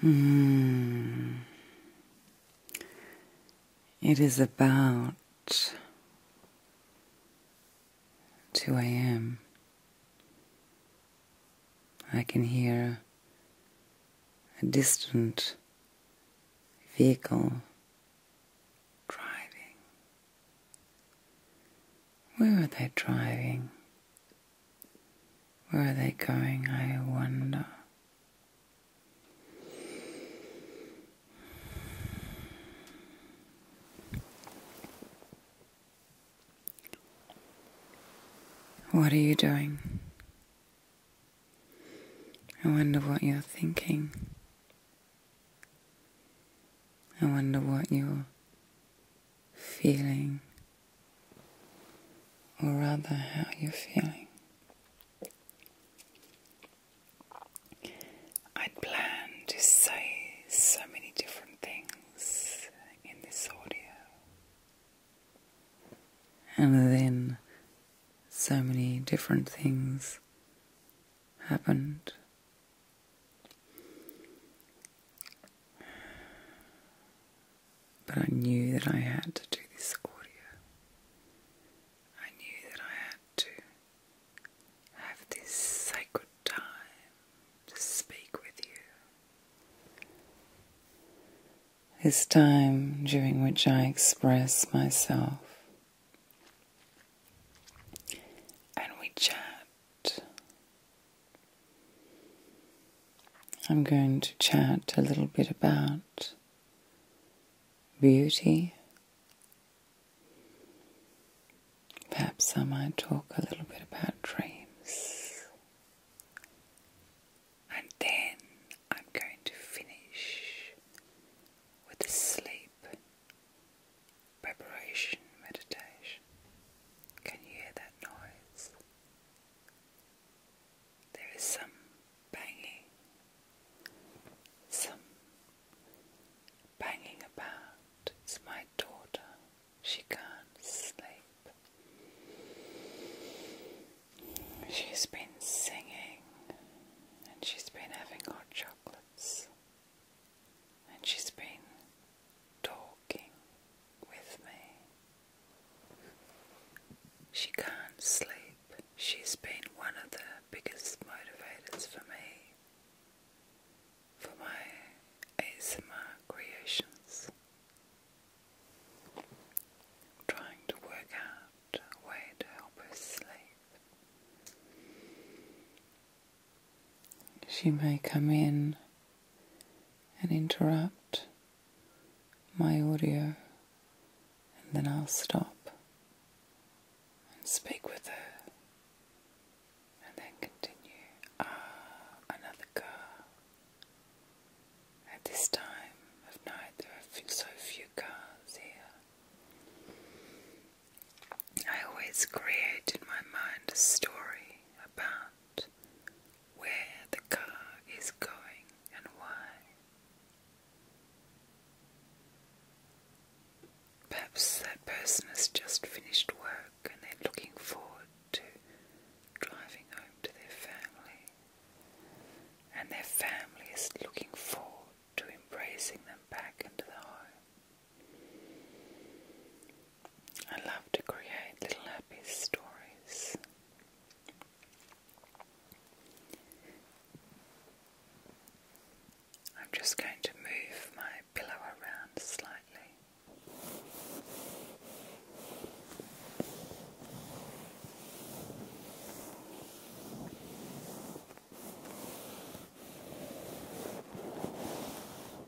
Hmm. It is about 2 a.m. I can hear a distant vehicle driving. Where are they driving? Where are they going, I wonder? What are you doing? I wonder what you're thinking. I wonder what you're feeling, or rather, how you're feeling. I'd planned to say so many different things in this audio, and then so many different things happened but I knew that I had to do this audio. I knew that I had to have this sacred time to speak with you. This time during which I express myself and we chat I'm going to chat a little bit about beauty. Perhaps I might talk a little bit about dreams. And then I'm going to finish with sleep preparation meditation. Can you hear that noise? There is some banging, some banging about. It's my daughter. She can't sleep. She's been singing and she's been having hot chocolates and she's been talking with me. She can't sleep. She's been one of the biggest motivators for me, for my ASMR creations. Trying to work out a way to help her sleep. She may come in and interrupt my audio, and then I'll stop and speak with her, and then continue. Ah, another car. At this time of night, there are so few cars here. I always create in my mind a story about where the car is going and why. Perhaps that person has just finished work and they're looking forward to driving home to their family, and their family is looking forward to embracing them back into the home. I love to create little happy stories. I'm just going to move my pillow around slightly.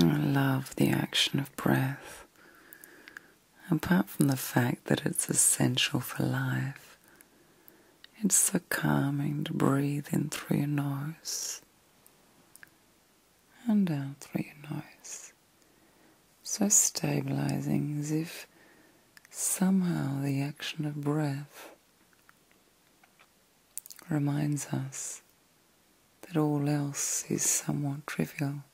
I love the action of breath, apart from the fact that it's essential for life. It's so calming to breathe in through your nose and out through your nose. So stabilizing as if somehow the action of breath reminds us that all else is somewhat trivial.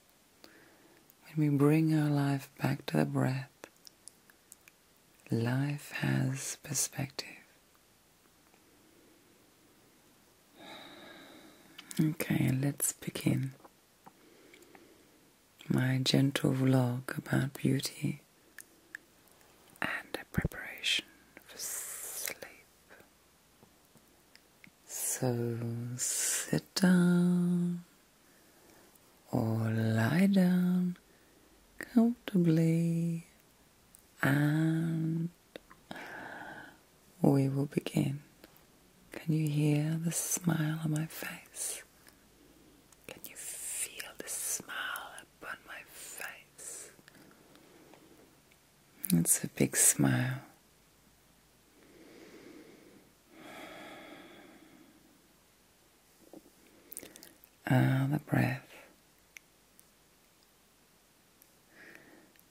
When we bring our life back to the breath, life has perspective. Okay, let's begin my gentle vlog about beauty and preparation for sleep. So sit down or lie down comfortably and we will begin. Can you hear the smile on my face? Can you feel the smile upon my face? It's a big smile. Ah, the breath.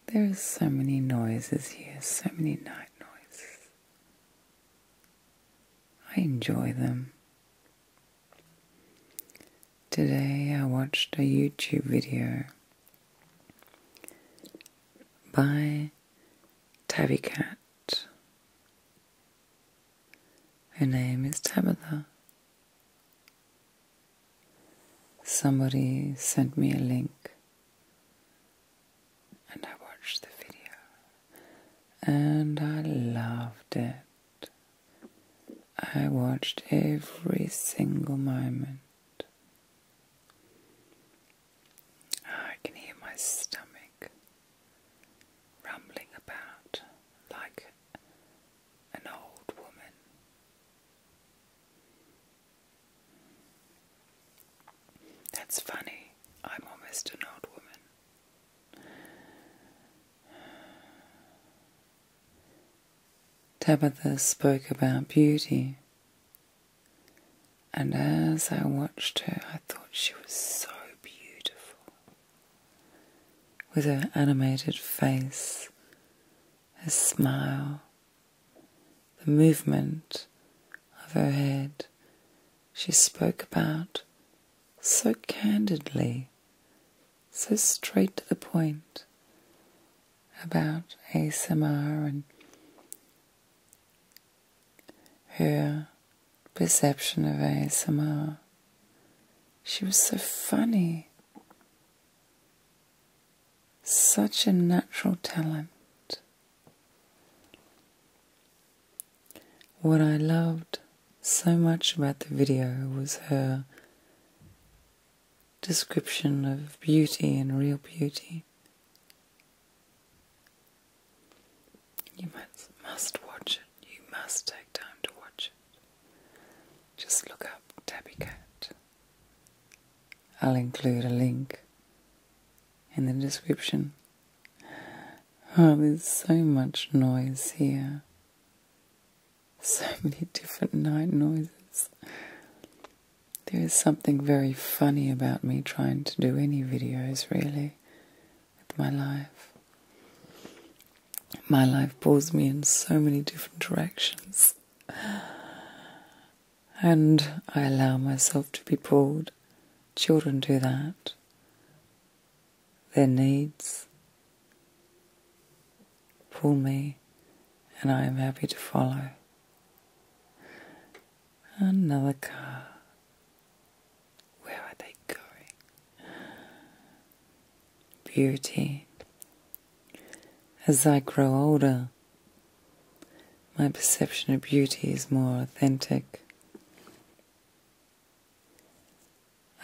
There are so many noises here, so many night noises. I enjoy them. Today I watched a YouTube video by Tabby Cat. Her name is Tabitha. Somebody sent me a link and I watched the video and I loved it. I watched every single moment. Ah, I can hear my stomach rumbling about like an old woman. That's funny. I'm almost an old woman. Tabitha spoke about beauty, and as I watched her, I thought she was so beautiful. With her animated face, her smile, the movement of her head she spoke about so candidly, so straight to the point about ASMR and her perception of ASMR. She was so funny, such a natural talent. What I loved so much about the video was her description of beauty and real beauty. You must, watch it. You must take time to watch it. Just look up Tabby Cat. I'll include a link in the description. Oh, there's so much noise here. So many different night noises. There is something very funny about me trying to do any videos, really, with my life. My life pulls me in so many different directions. And I allow myself to be pulled Children do that. Their needs pull me, and I am happy to follow. Another car. Where are they going? Beauty. As I grow older, my perception of beauty is more authentic.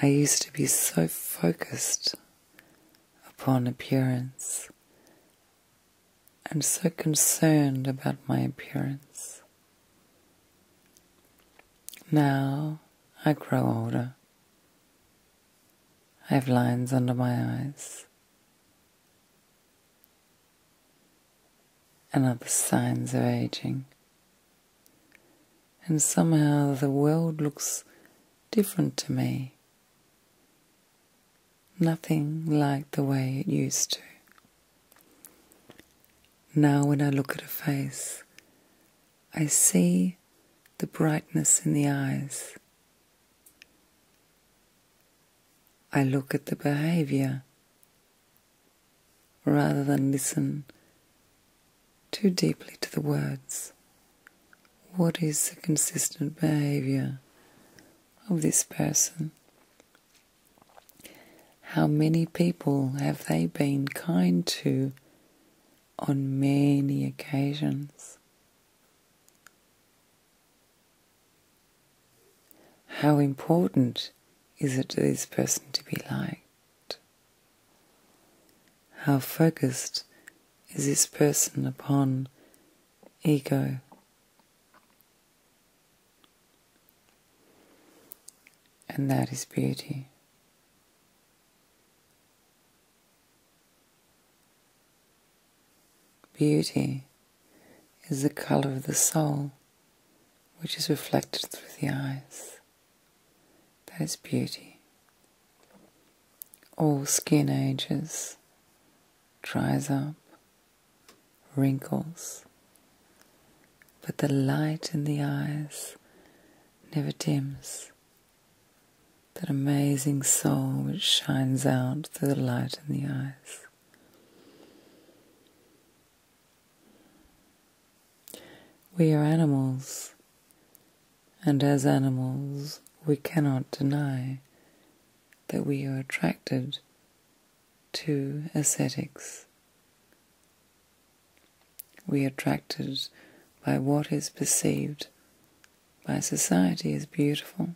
I used to be so focused upon appearance and so concerned about my appearance. Now I grow older. I have lines under my eyes and other signs of aging. And somehow the world looks different to me. Nothing like the way it used to. Now, when I look at a face, I see the brightness in the eyes. I look at the behavior rather than listen too deeply to the words. What is the consistent behavior of this person? How many people have they been kind to on many occasions? How important is it to this person to be liked? How focused is this person upon ego? And that is beauty. Beauty is the colour of the soul which is reflected through the eyes. That is beauty. All skin ages, dries up, wrinkles, but the light in the eyes never dims. That amazing soul which shines out through the light in the eyes. We are animals, and as animals, we cannot deny that we are attracted to ascetics. We are attracted by what is perceived by society as beautiful.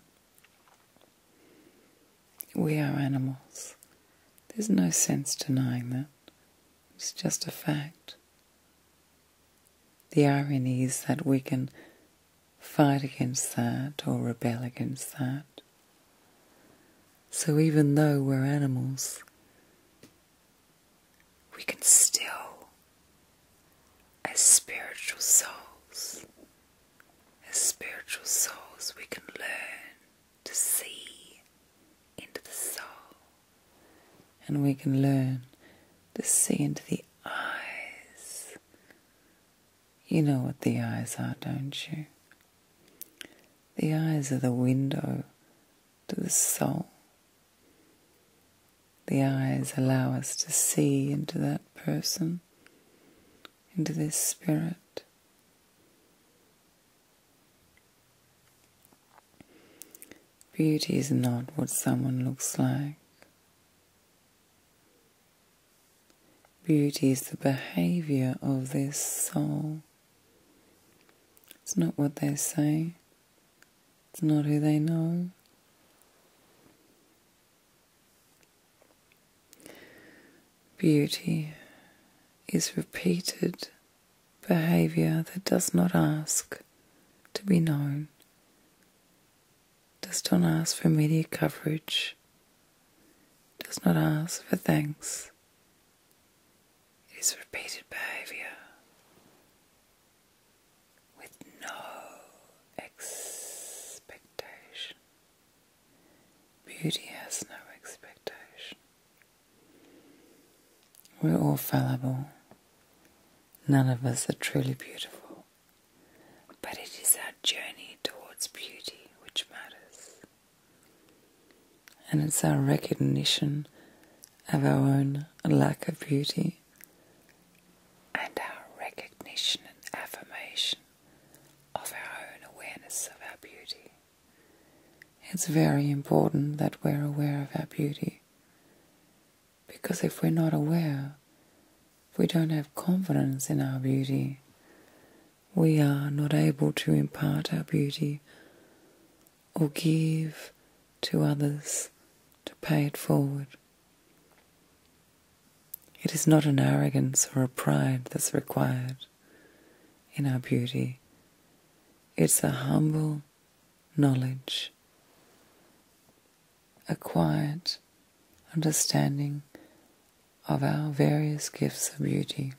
We are animals. There's no sense denying that. It's just a fact. The irony is that we can fight against that or rebel against that. So even though we're animals, we can still, as spiritual souls, as spiritual souls, we can learn to see into the soul, and we can learn to see into the eyes. You know what the eyes are, don't you? The eyes are the window to the soul. The eyes allow us to see into that person, into their spirit, Beauty is not what someone looks like. Beauty is the behavior of their soul. It's not what they say, it's not who they know, Beauty is repeated behavior that does not ask to be known, does not ask for media coverage, does not ask for thanks. It is repeated behavior with no expectation. Beauty has no expectation. We're all fallible. None of us are truly beautiful. But it is our journey towards beauty which matters. And it's our recognition of our own lack of beauty and our recognition and affirmation of our own awareness of our beauty. It's very important that we're aware of our beauty. Because if we're not aware, we don't have confidence in our beauty. We are not able to impart our beauty or give to others to pay it forward. It is not an arrogance or a pride that's required in our beauty. It's a humble knowledge, a quiet understanding of our various gifts of beauty,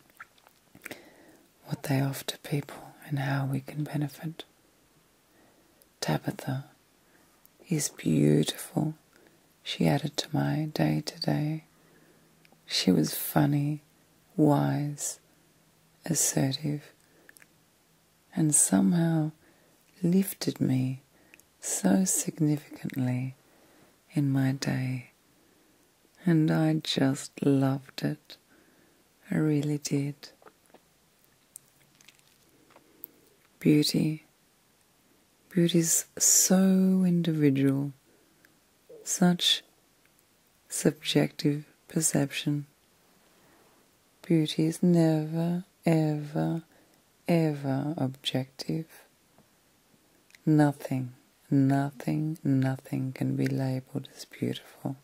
what they offer people, and how we can benefit. Tabitha is beautiful she added to my day to day. She was funny, wise, assertive, and somehow lifted me so significantly in my day. And I just loved it. I really did. Beauty, Beauty is so individual, such subjective perception. Beauty is never, ever, ever objective. Nothing, nothing, nothing can be labeled as beautiful.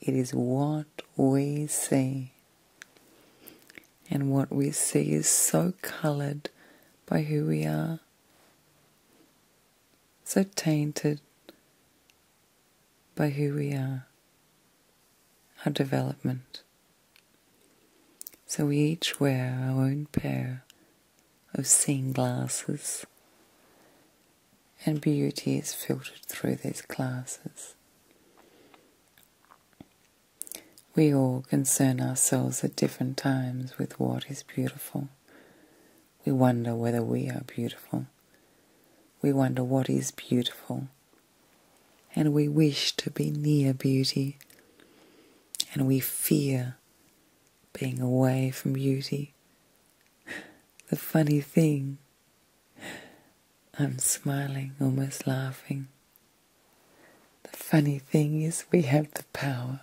It is what we see. And what we see is so coloured by who we are, so tainted by who we are, our development. So we each wear our own pair of seeing glasses, and beauty is filtered through these glasses. We all concern ourselves at different times with what is beautiful. We wonder whether we are beautiful. We wonder what is beautiful. And we wish to be near beauty. And we fear being away from beauty. The funny thing, I'm smiling, almost laughing, the funny thing is, we have the power.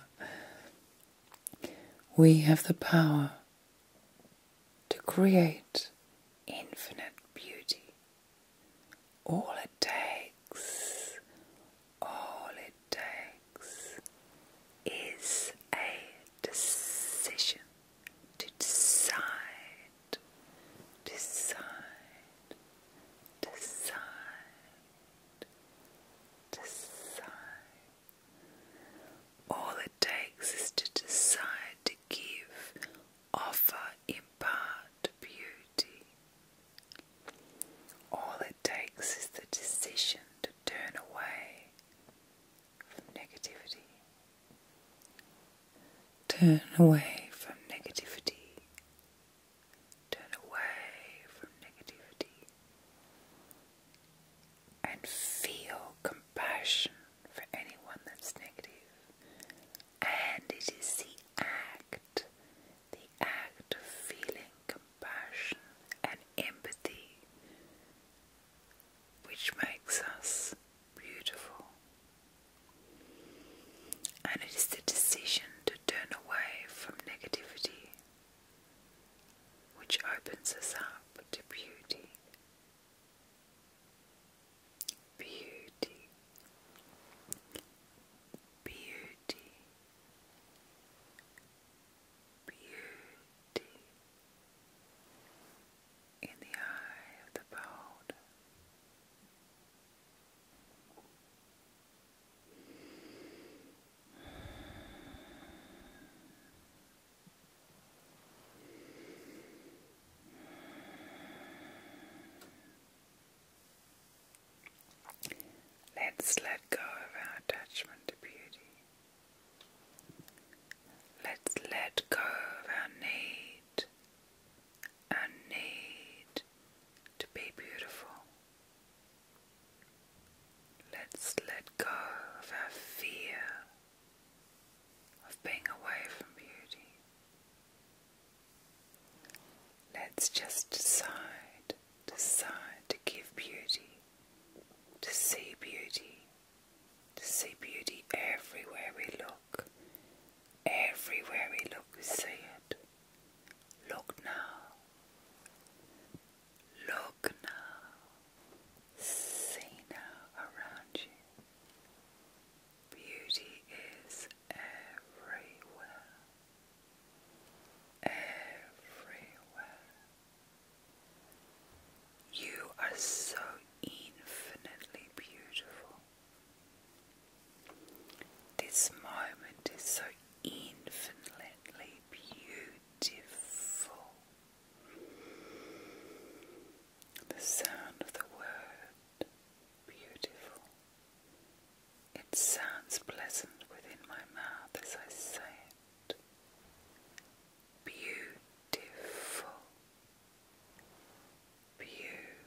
We have the power to create infinite beauty. All it takes, all it takes is a decision to decide decide, decide, decide. All it takes is to decide to give, offer, impart beauty. All it takes is the decision to turn away from negativity. Turn away from negativity. Turn away from negativity. And feel compassion for anyone that's negative. And it is the act, the act of feeling compassion and empathy, which makes us beautiful. And it is the decision to turn away from negativity which opens us up to beauty. Beauty. Beauty. Beauty. In the eye of the beholder. Let's let go of our attachment to beauty. Let's let go of our need a need to be beautiful. Let's let go of our fear of being away from beauty. Let's just decide, decide to give beauty, to see beauty, to see beauty everywhere we look. Everywhere we look, we see it. Look now. Look now. See now around you. Beauty is everywhere. Everywhere. You are so infinitely beautiful. This moment is so infinitely beautiful. The sound of the word beautiful. It sounds pleasant within my mouth as I say it. Beautiful. Beautiful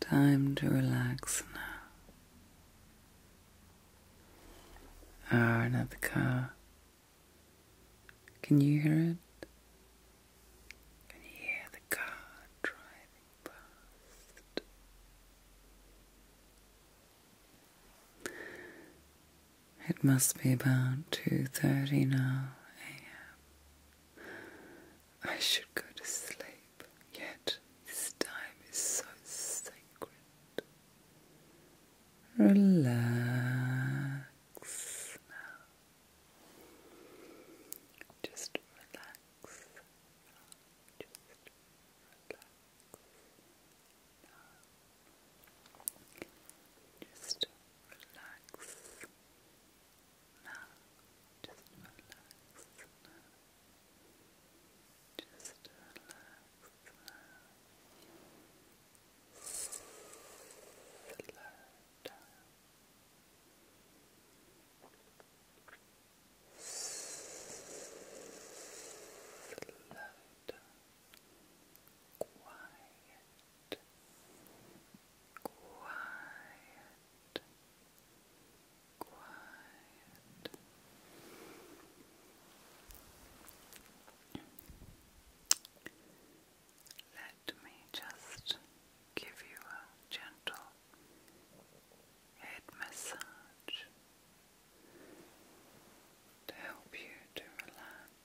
Time to relax now. Aaron ah, at the car. Can you hear it? Can you hear the car driving past? It must be about two thirty now AM. I should go to sleep, yet this time is so sacred. Relax Just relax. Just relax. Just relax. Now, just relax now. relax now. Slow down quiet, quiet. Let me just give you a gentle head massage to help you to relax.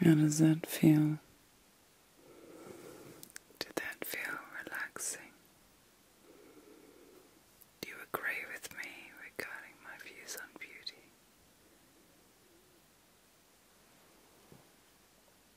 How does that feel? Did that feel relaxing? Do you agree with me regarding my views on beauty?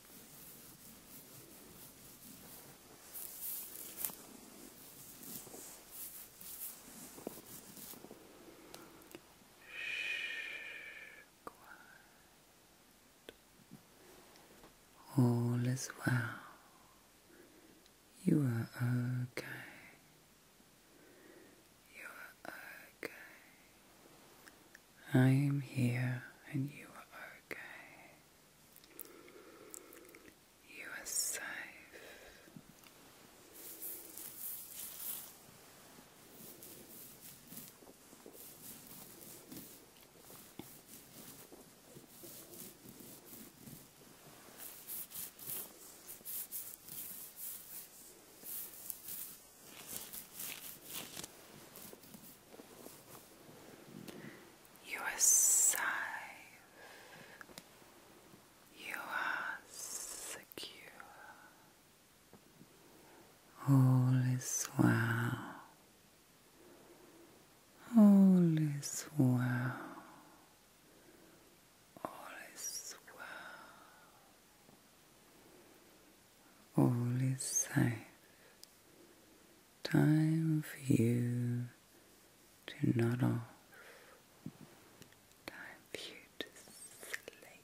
Shh, All is well. You are okay. You are okay. I am here and you are okay. You are safe. You are safe. You are secure. All is well. All is well. All is well all is safe. Time for you to nod off. Time for you to sleep.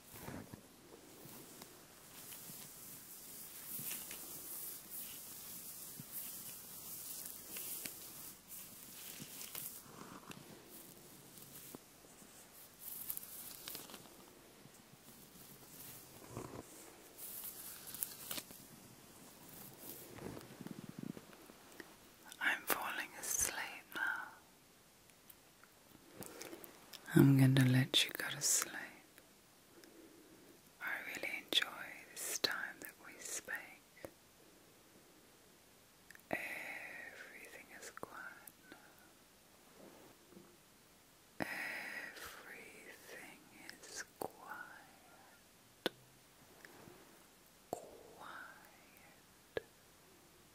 I'm falling asleep now. I'm gonna let you go to sleep. I really enjoy this time that we spake. Everything is quiet Everything is Quiet. Quiet.